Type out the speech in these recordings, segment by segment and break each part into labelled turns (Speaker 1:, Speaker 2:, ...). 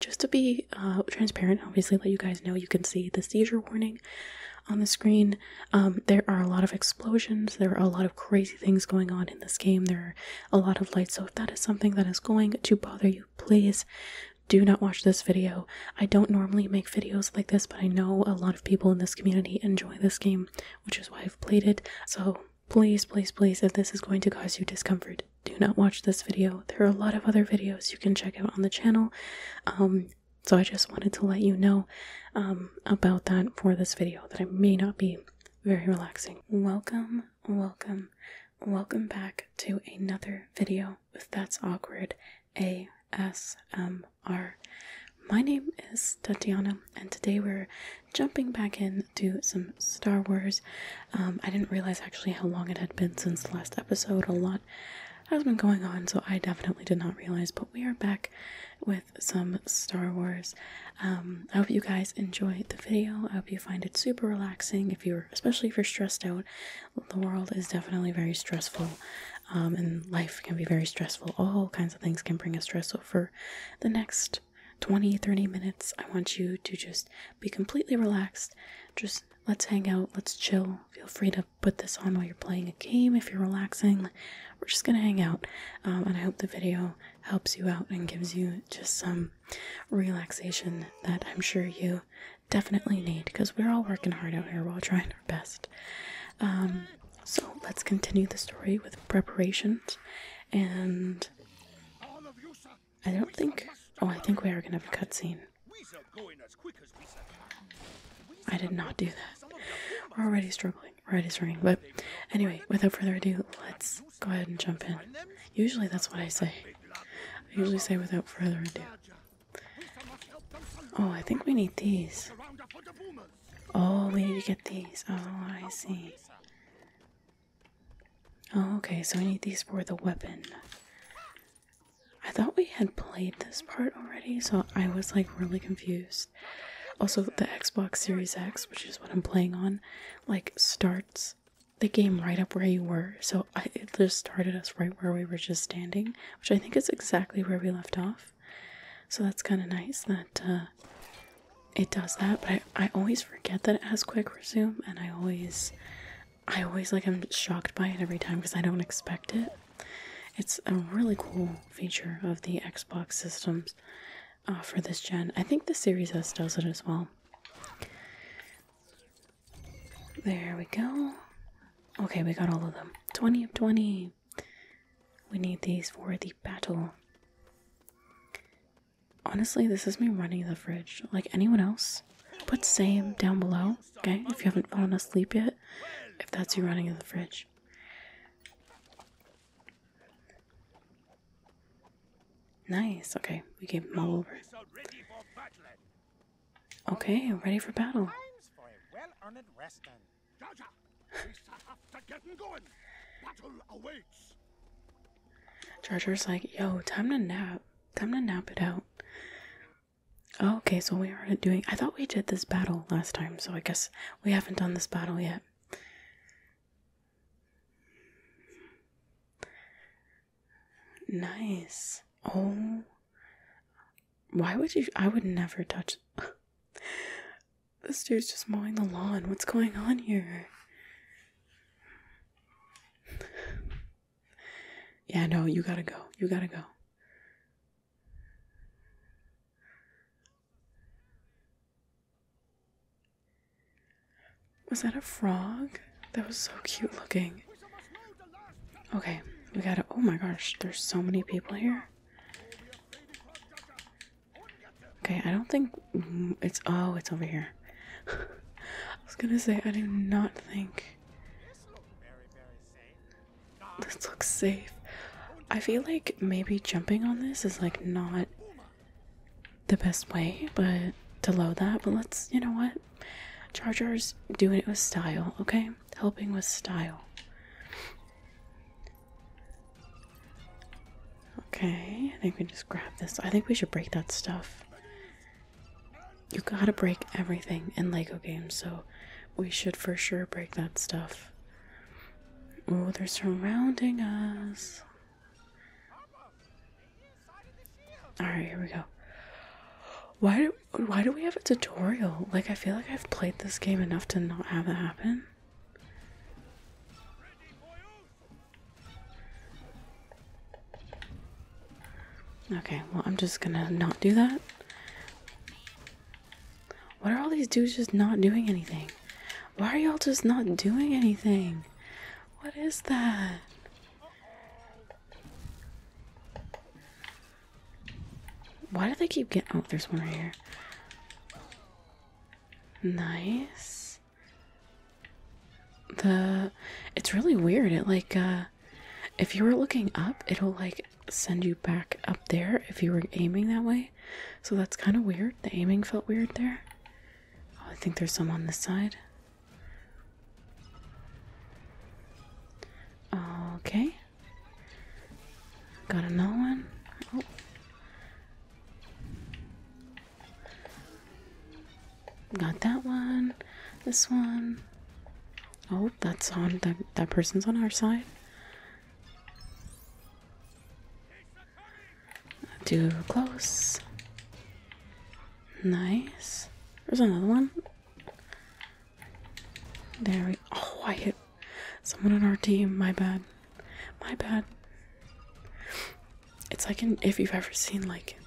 Speaker 1: just to be uh, transparent, obviously, let you guys know you can see the seizure warning on the screen. Um, there are a lot of explosions, there are a lot of crazy things going on in this game, there are a lot of lights. So, if that is something that is going to bother you, please do not watch this video. I don't normally make videos like this, but I know a lot of people in this community enjoy this game, which is why I've played it. So, please, please, please, if this is going to cause you discomfort, do not watch this video. There are a lot of other videos you can check out on the channel. Um, so I just wanted to let you know um, about that for this video that it may not be very relaxing. Welcome, welcome, welcome back to another video with That's Awkward ASMR. My name is Tatiana, and today we're jumping back in do some Star Wars. Um, I didn't realize actually how long it had been since the last episode. A lot has been going on, so I definitely did not realize. But we are back with some Star Wars. Um, I hope you guys enjoyed the video. I hope you find it super relaxing. If you're, especially if you're stressed out, the world is definitely very stressful. Um, and life can be very stressful. All kinds of things can bring a stress. So for the next 20 30 minutes. I want you to just be completely relaxed. Just let's hang out, let's chill. Feel free to put this on while you're playing a game if you're relaxing. We're just gonna hang out, um, and I hope the video helps you out and gives you just some relaxation that I'm sure you definitely need because we're all working hard out here while trying our best. Um, so let's continue the story with preparations and I don't think. Oh, I think we are gonna have a cutscene. I did not do that. We're already struggling. Right is running, But anyway, without further ado, let's go ahead and jump in. Usually that's what I say. I usually say without further ado. Oh, I think we need these. Oh, we need to get these. Oh, I see. Oh, okay, so I need these for the weapon. I thought we had played this part already, so I was like really confused. Also, the Xbox Series X, which is what I'm playing on, like starts the game right up where you were. So it just started us right where we were just standing, which I think is exactly where we left off. So that's kind of nice that uh, it does that, but I, I always forget that it has quick resume, and I always, I always like I'm shocked by it every time because I don't expect it. It's a really cool feature of the Xbox systems uh, for this gen. I think the Series S does it as well. There we go. Okay, we got all of them. 20 of 20. We need these for the battle honestly, this is me running the fridge like anyone else. Put same down below, okay? If you haven't fallen asleep yet, if that's you running the fridge. Nice, okay, we gave them all over. Okay, ready for battle. Charger's like, yo, time to nap. Time to nap it out. Oh, okay, so we are doing. I thought we did this battle last time, so I guess we haven't done this battle yet. Nice. Oh. Why would you? I would never touch. This dude's just mowing the lawn. What's going on here? yeah, no, you gotta go. You gotta go. Was that a frog? That was so cute looking. Okay, we gotta. Oh my gosh, there's so many people here. Okay, I don't think mm, it's. Oh, it's over here. I was gonna say, I do not think. This looks safe. I feel like maybe jumping on this is like not the best way, but to load that. But let's, you know what? Jar Jar's doing it with style, okay? Helping with style. Okay, I think we just grab this. I think we should break that stuff. You gotta break everything in Lego games, so we should for sure break that stuff. Oh, they're surrounding us. Alright, here we go. Why do, why do we have a tutorial? Like, I feel like I've played this game enough to not have that happen. Okay, well, I'm just gonna not do that. What are all these dudes just not doing anything? Why are y'all just not doing anything? What is that? Why do they keep getting? Oh, there's one right here. Nice. The it's really weird. It like uh if you were looking up, it'll like send you back up there if you were aiming that way. So that's kind of weird. The aiming felt weird there. Oh, I think there's some on this side. Okay. Got another one. Oh. Got that one. This one. Oh, that's on that that person's on our side. Too close. Nice. There's another one. There we. Oh, I hit Someone on our team, my bad. My bad. It's like if you've ever seen like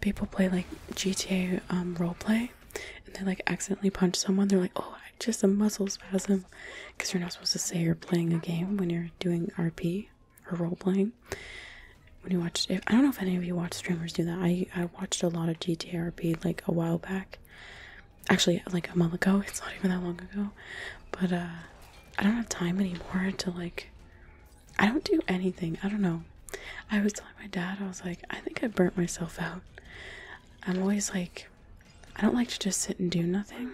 Speaker 1: people play like GTA um roleplay and they like accidentally punch someone, they're like, oh, just a muscle spasm. Because you're not supposed to say you're playing a game when you're doing RP or role playing. When you watch, I don't know if any of you watch streamers do that. I I watched a lot of GTA RP like a while back, actually like a month ago it's not even that long ago but uh i don't have time anymore to like i don't do anything i don't know i was telling my dad i was like i think i burnt myself out i'm always like i don't like to just sit and do nothing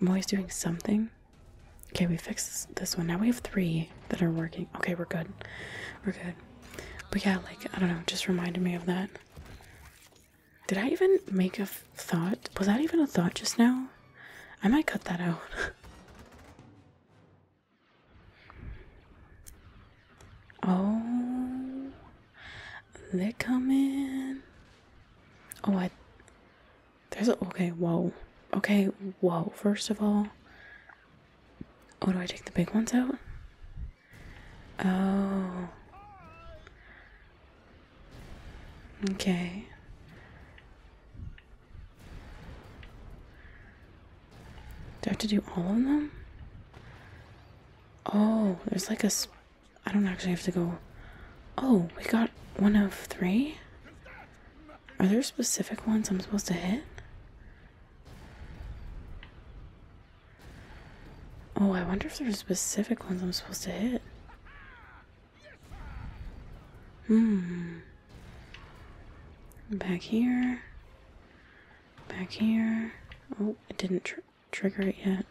Speaker 1: i'm always doing something okay we fixed this one now we have three that are working okay we're good we're good but yeah like i don't know just reminded me of that did I even make a thought? Was that even a thought just now? I might cut that out. oh, they're coming. Oh, I. There's a. Okay, whoa. Okay, whoa. First of all. Oh, do I take the big ones out? Oh. Okay. Do I have to do all of them? Oh, there's like a. I don't actually have to go. Oh, we got one of three? Are there specific ones I'm supposed to hit? Oh, I wonder if there's specific ones I'm supposed to hit. Hmm. Back here. Back here. Oh, it didn't trigger it yet.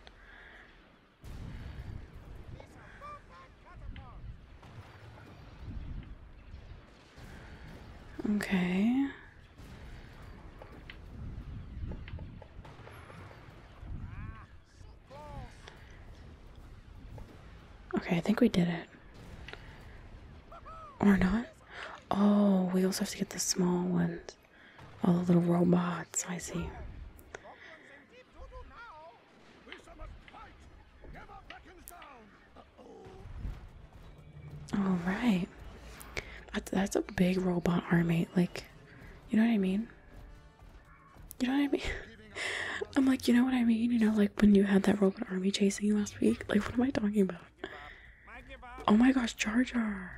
Speaker 1: Okay. Okay, I think we did it. Or not? Oh, we also have to get the small ones. All oh, the little robots, I see. All right. That's, that's a big robot army. Like, you know what I mean? You know what I mean? I'm like, you know what I mean? You know, like when you had that robot army chasing you last week? Like, what am I talking about? Oh my gosh, Jar Jar!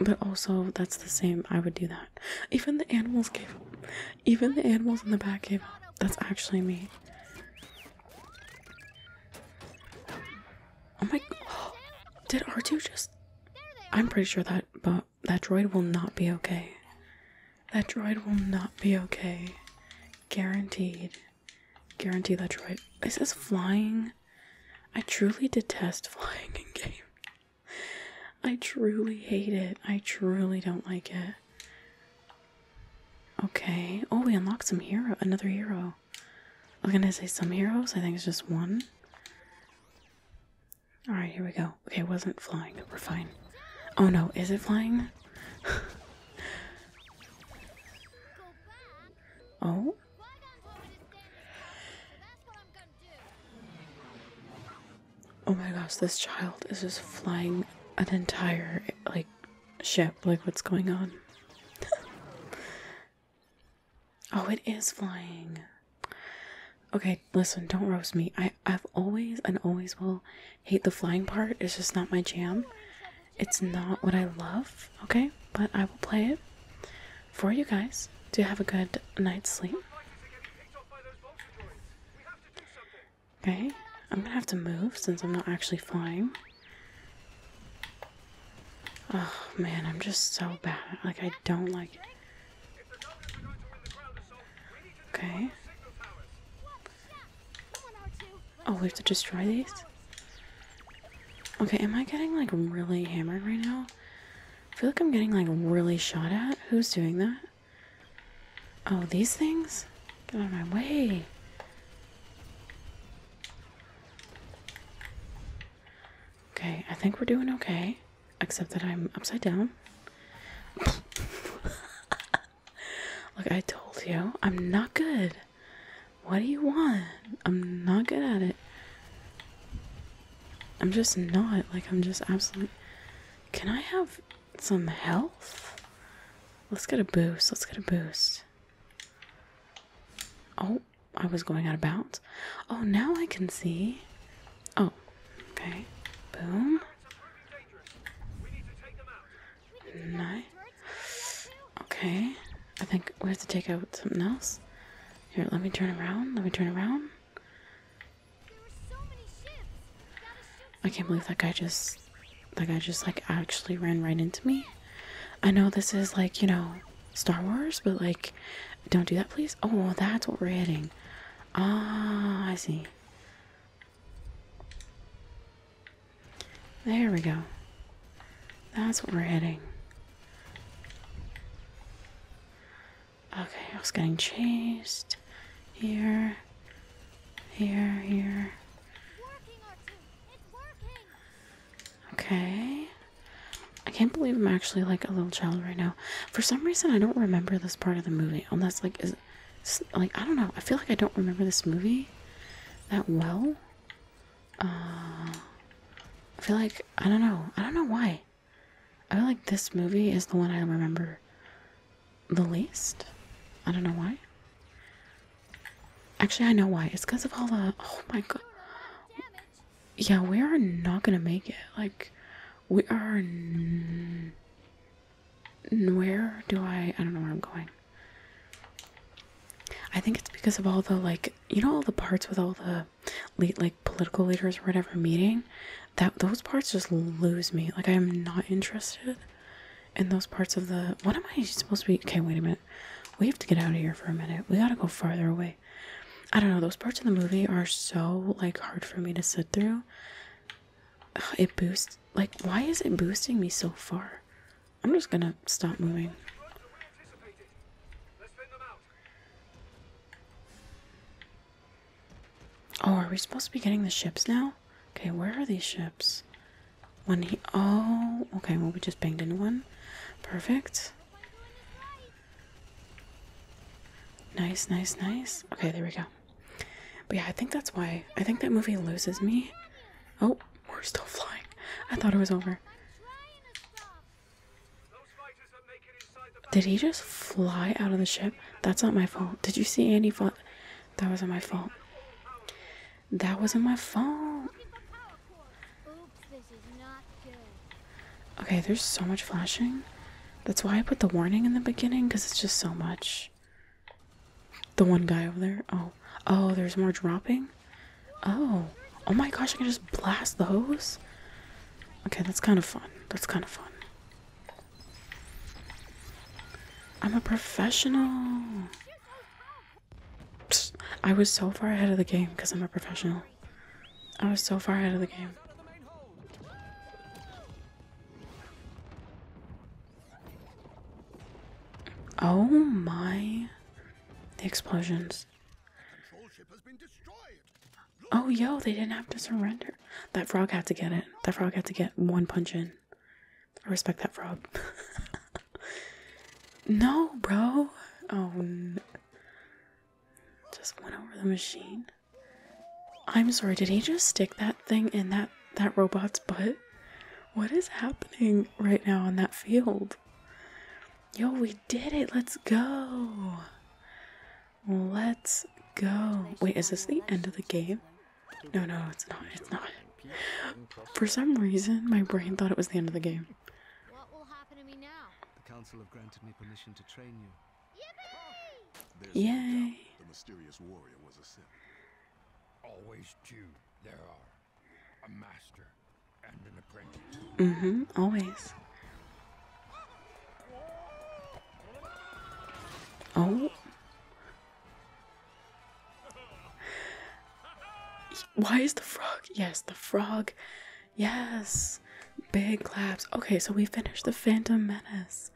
Speaker 1: But also, that's the same. I would do that. Even the animals gave up. Even the animals in the back gave up. That's actually me. Oh my! Oh, did R2 just? I'm pretty sure that but that droid will not be okay. That droid will not be okay. Guaranteed. Guaranteed that droid. Is this flying? I truly detest flying in game. I truly hate it. I truly don't like it. Okay. Oh, we unlock some hero, another hero. I am gonna say some heroes, I think it's just one. Alright, here we go. Okay, it wasn't flying. We're fine. Oh no, is it flying? oh? Oh my gosh, this child is just flying an entire, like, ship. Like, what's going on? oh, it is flying. Okay, listen, don't roast me. I, I've always and always will hate the flying part. It's just not my jam. It's not what I love, okay? But I will play it for you guys to have a good night's sleep. Okay, I'm gonna have to move since I'm not actually flying. Oh man, I'm just so bad. Like, I don't like it. Okay. Oh, we have to destroy these? Okay, am I getting like really hammered right now? I feel like I'm getting like really shot at. Who's doing that? Oh, these things? Get out of my way. Okay, I think we're doing okay. Except that I'm upside down. Look, I told you, I'm not good. What do you want? I'm not good at it. I'm just not. Like, I'm just absolutely. Can I have some health. Let's get a boost. Let's get a boost. Oh, I was going out of bounds. Oh, now I can see. Oh, okay. Boom. Nice. Okay. I think we have to take out something else. Here, let me turn around. Let me turn around. I can't believe that guy just like I just like actually ran right into me. I know this is like, you know, Star Wars, but like, don't do that, please. Oh, that's what we're hitting. Ah, I see. There we go. That's what we're hitting. Okay, I was getting chased here, here, here. Okay. I can't believe I'm actually like a little child right now. For some reason, I don't remember this part of the movie. Unless, oh, like, is like I don't know. I feel like I don't remember this movie that well. Uh, I feel like I don't know. I don't know why. I feel like this movie is the one I remember the least. I don't know why. Actually, I know why. It's because of all the. Oh my god. Yeah, we are not gonna make it. Like, we are. N where do I. I don't know where I'm going. I think it's because of all the, like, you know, all the parts with all the, like, political leaders or whatever meeting? that those parts just lose me. Like I am not interested in those parts of the. What am I supposed to be? Okay, wait a minute. We have to get out of here for a minute. We gotta go farther away. I don't know. Those parts of the movie are so like hard for me to sit through. It boosts. Like, why is it boosting me so far? I'm just gonna stop moving. Oh, are we supposed to be getting the ships now? Okay, where are these ships? One he oh okay, well we just banged into one. Perfect. Nice, nice, nice. Okay, there we go. But yeah, I think that's why. I think that movie loses me. Oh, we're still flying. I thought it was over. Did he just fly out of the ship? That's not my fault. Did you see Andy fly? That wasn't my fault. That wasn't my fault. Okay, there's so much flashing. That's why I put the warning in the beginning, because it's just so much. The one guy over there. Oh. Oh, there's more dropping? Oh. Oh my gosh, I can just blast those? Okay, that's kind of fun. That's kind of fun. I'm a professional. I was so far ahead of the game because I'm a professional. I was so far ahead of the game. Oh my. The explosions. Oh, yo, they didn't have to surrender. That frog had to get it. That frog had to get one punch in. I respect that frog. no, bro. Oh, just went over the machine. I'm sorry. Did he just stick that thing in that that robot's butt? What is happening right now on that field? Yo, we did it. Let's go. Let's go. Wait, is this the end of the game? No, no, it's not. It's not. For some reason, my brain thought it was the end of the game. What will happen to me now? The council have granted me permission to train you. Yippee! Yay! the mysterious warrior was a Sith. Always two there are, Mm-hmm. Always. Oh. Why is the frog? Yes, the frog. Yes. Big claps. Okay, so we finished the Phantom Menace.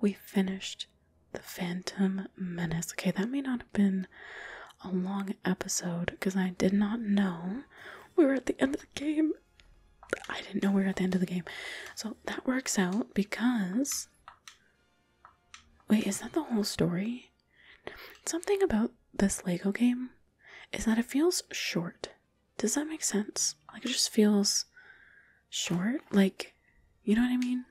Speaker 1: We finished the Phantom Menace. Okay, that may not have been a long episode because I did not know we were at the end of the game I didn't know we were at the end of the game. So that works out because. Wait, is that the whole story? Something about this Lego game is that it feels short. Does that make sense? Like it just feels short. Like, you know what I mean?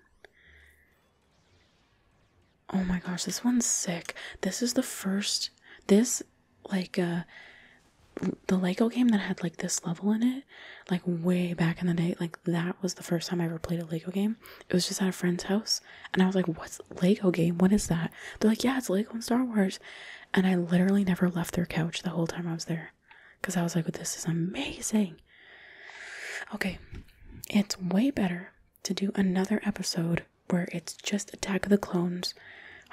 Speaker 1: Oh my gosh, this one's sick. This is the first. This like uh the Lego game that had like this level in it, like way back in the day, like that was the first time I ever played a Lego game. It was just at a friend's house, and I was like, "What's Lego game? What is that?" They're like, "Yeah, it's Lego and Star Wars," and I literally never left their couch the whole time I was there, because I was like, "This is amazing." Okay, it's way better to do another episode where it's just Attack of the Clones,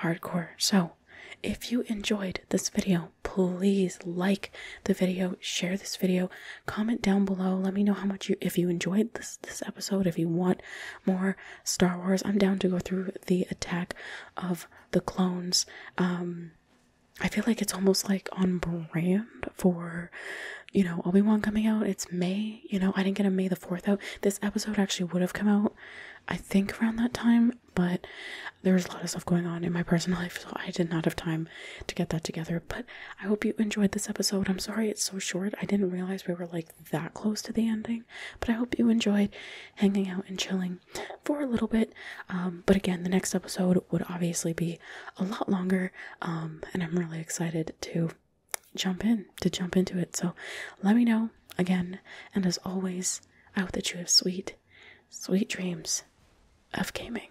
Speaker 1: hardcore. So if you enjoyed this video, please like the video, share this video, comment down below. Let me know how much you if you enjoyed this this episode, if you want more Star Wars. I'm down to go through the attack of the clones. Um I feel like it's almost like on brand for you know Obi-Wan coming out. It's May, you know, I didn't get a May the 4th out. This episode actually would have come out I think around that time, but there was a lot of stuff going on in my personal life, so I did not have time to get that together. But I hope you enjoyed this episode. I'm sorry it's so short. I didn't realize we were like that close to the ending, but I hope you enjoyed hanging out and chilling for a little bit. Um, but again, the next episode would obviously be a lot longer, um, and I'm really excited to jump in to jump into it so let me know again, and as always, I hope that you have sweet, sweet dreams of gaming.